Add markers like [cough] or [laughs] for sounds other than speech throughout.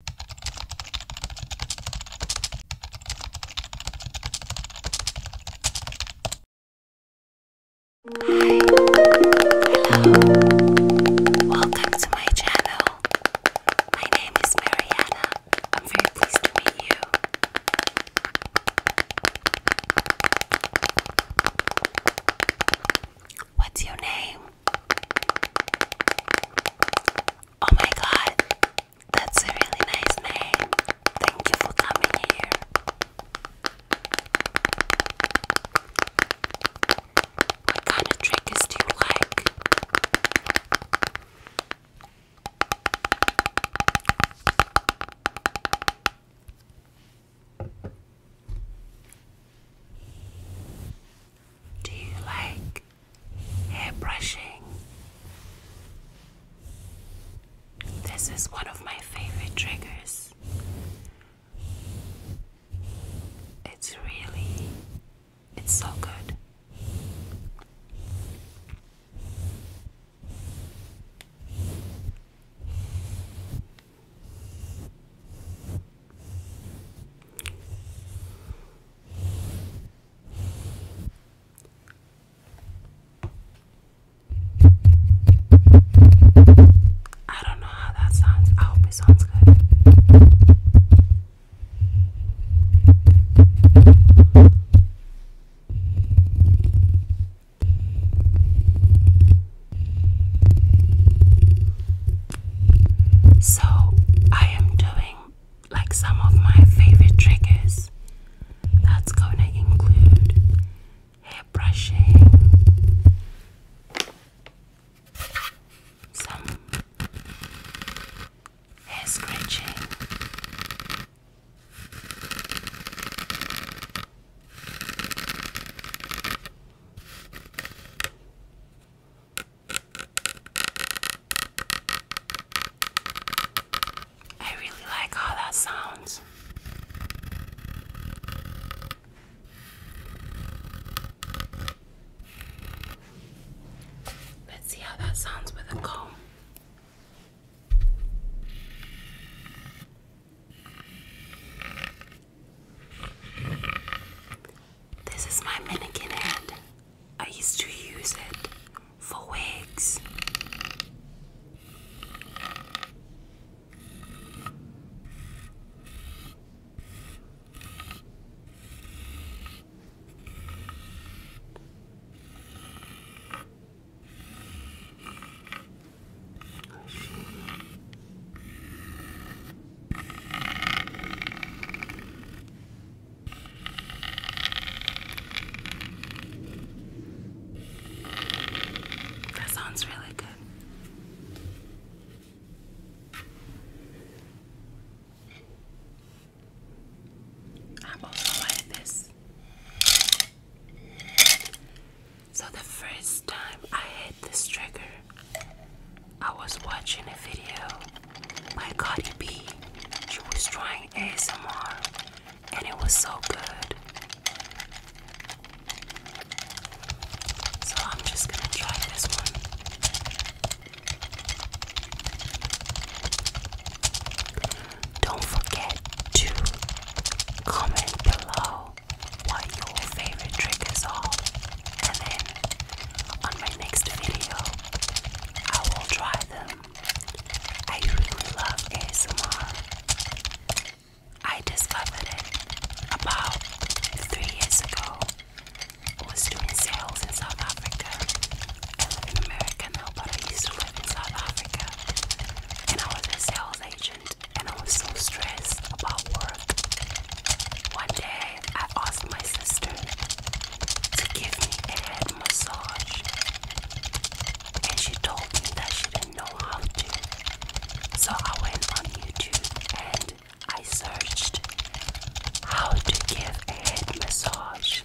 Hi, hello, welcome to my channel. My name is Mariana. I'm very pleased to meet you. What's your name? Oh my god, that's a really nice name. Thank you for coming here. What kind of triggers do you like? Do you like hair brushing. This is one of my favorite triggers. It's really, it's so good. I don't know how that sounds. I hope it sounds good. So, I am doing like some of my favorite triggers that's going to include hair brushing, some hair scratching. I really like how that sounds. Let's see how that sounds with a comb. This is my mannequin head. I used to use it for wigs. That sounds really good. I'm also like this. So the first time I hit this trigger, I was watching a video by Cardi B. She was trying ASMR and it was so good. So I'm just gonna try this one. Don't forget to comment below what your favorite triggers are and then on my next video, I will try them. I really love ASMR. I discovered it about three years ago. I was doing sales in South Africa. I live in America now, but I used to live in South Africa. And I was a sales agent, and I was so stressed about work. One day, I asked my sister to give me a head massage, and she told me that she didn't know how to. So I went on YouTube and I searched how to give a head massage,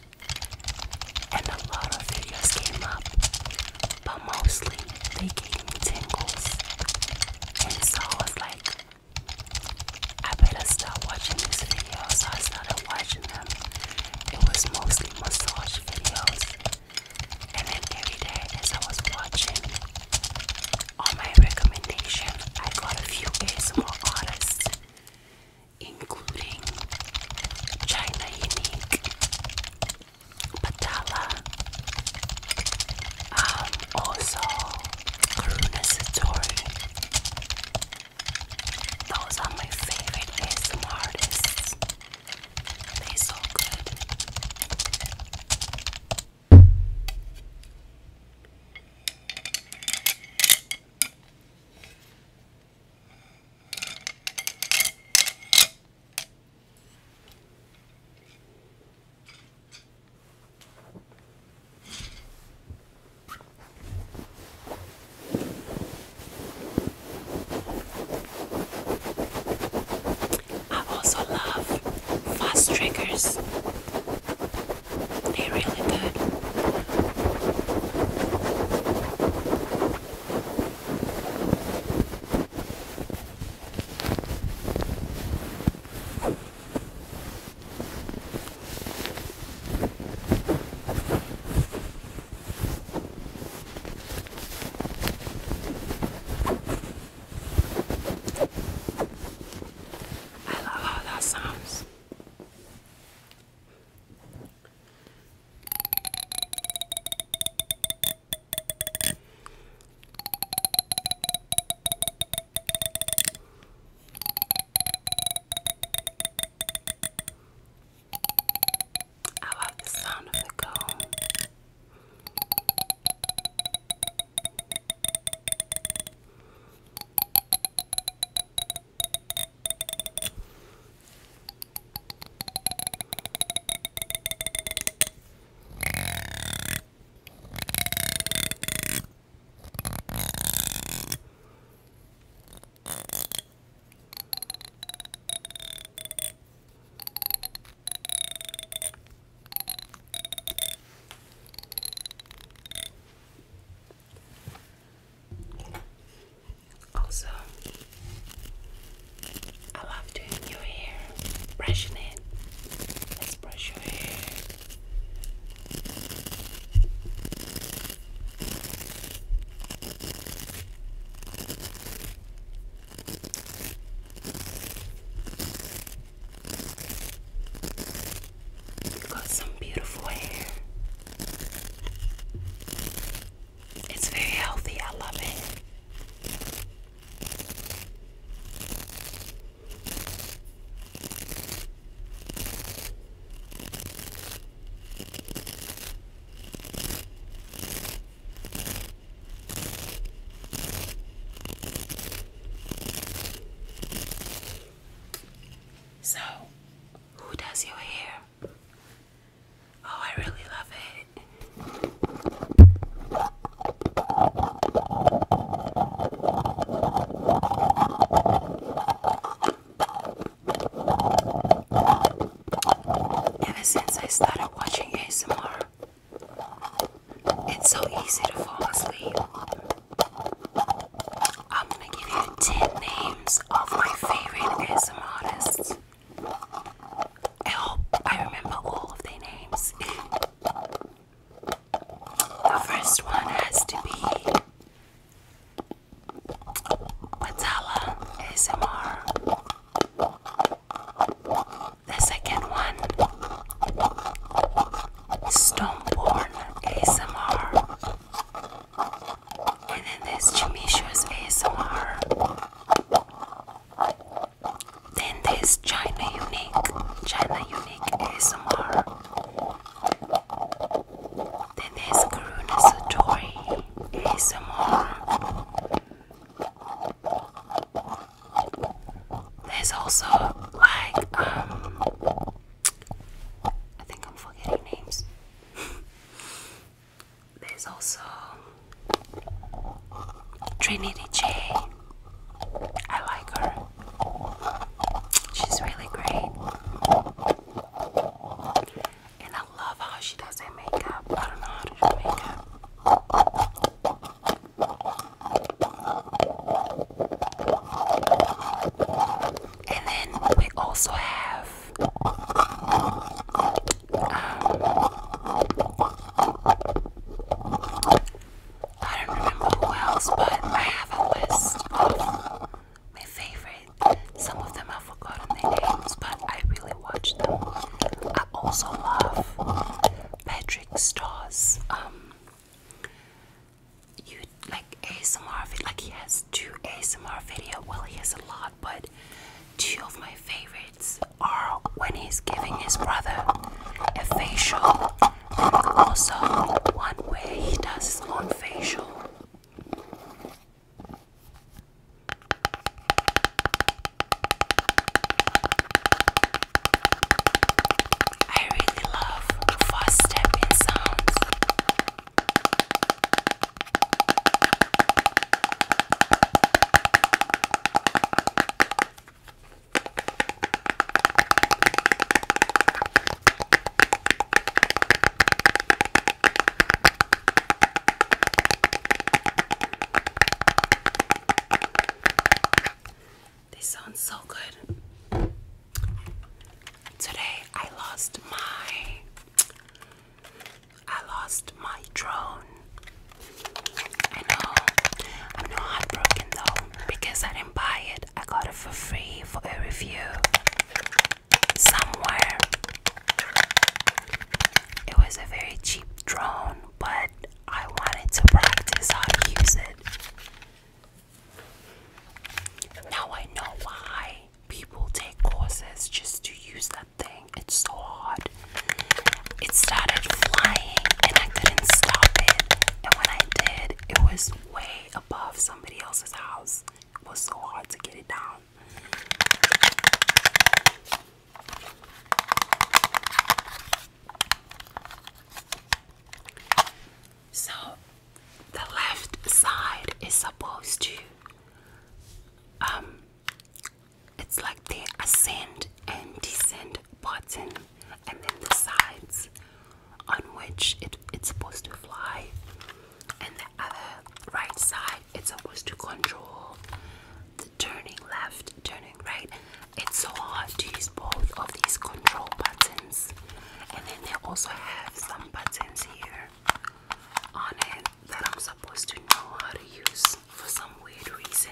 and a lot of videos came up, but mostly they gave me tingles. And so I was like, I better stop watching these videos, so I started watching them. It was mostly massage videos. And then every day as I was watching on my recommendation, I got a few ASMR artists, including China Unique, Patala, um, also Karuna Satori. Those are my favorite ASMR artists. They're so good. I also love fast triggers. They really good. I love how that sounds. I love the sound of the comb. Also, I love doing your hair, brushing it. Let's brush your hair you got some beautiful hair. It's very healthy, I love it. So, who does your hair? Oh, I really love it. Ever since I started watching ASMR, it's so easy to fall asleep. I'm gonna give you 10 names of my favorite ASMR artists. I hope I remember all of their names. The first one has to be Patala ASMR. The second one Stoneborn ASMR. And then this Chimisho's ASMR. Then there's China Unique, China Unique ASMR. Then there's Karuna Satori more. There's also like um I think I'm forgetting names. [laughs] There's also Trinity J I like her. She's really great. And I love how she does her makeup. I don't know how to do makeup. And then we also have um, I don't remember who else, but I have a list of my favorite. Some of them I've forgotten their names, but I really watch them. I also love Patrick Starr's um you like ASMR video like he has two ASMR video. Well he has a lot but two of my favorites are when he's giving his brother a facial also, one way he does his own facial. I really love fast tapping sounds. They sound so good. Today I lost my I lost my drone. I know I'm not heartbroken though because I didn't buy it. I got it for free for a review somewhere. It was a very cheap drone, but I wanted to practice how to use it. Now I know why people take courses just to use that thing. It's so hard it started flying and I couldn't stop it. And when I did, it was way above somebody else's house. It was so hard to get it down. So the left side is supposed to um it's like the ascend and descend button and then the sides on which it, it's supposed to fly, and the other right side it's supposed to control the turning left, turning right. It's so hard to use both of these control buttons, and then they also have some buttons here on it that I'm supposed to know how to use for some weird reason.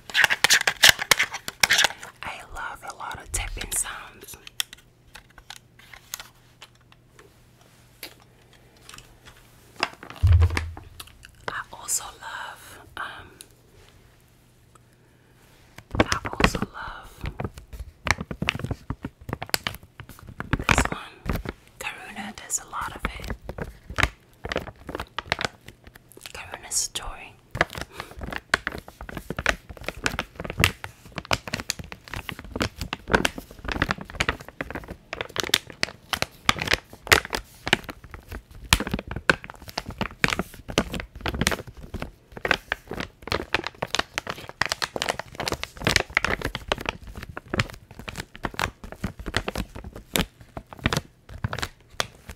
I love a lot of tipping sounds. I also love um, I also love this one. Karuna, there's a lot of it. Karuna's story. I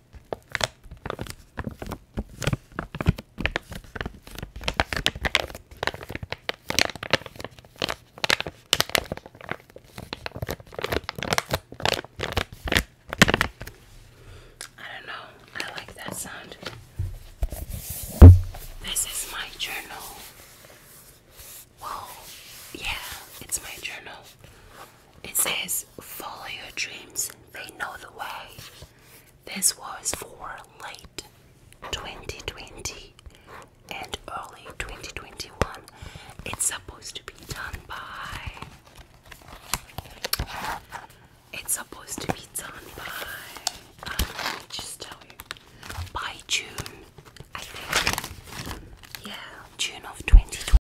don't know, I like that sound. This is my journal. Whoa, yeah, it's my journal. It says, Follow your dreams, they know the way. This was for late 2020 and early 2021. It's supposed to be done by. It's supposed to be done by. Um, let me just tell you. By June, I think. Yeah, June of 2020.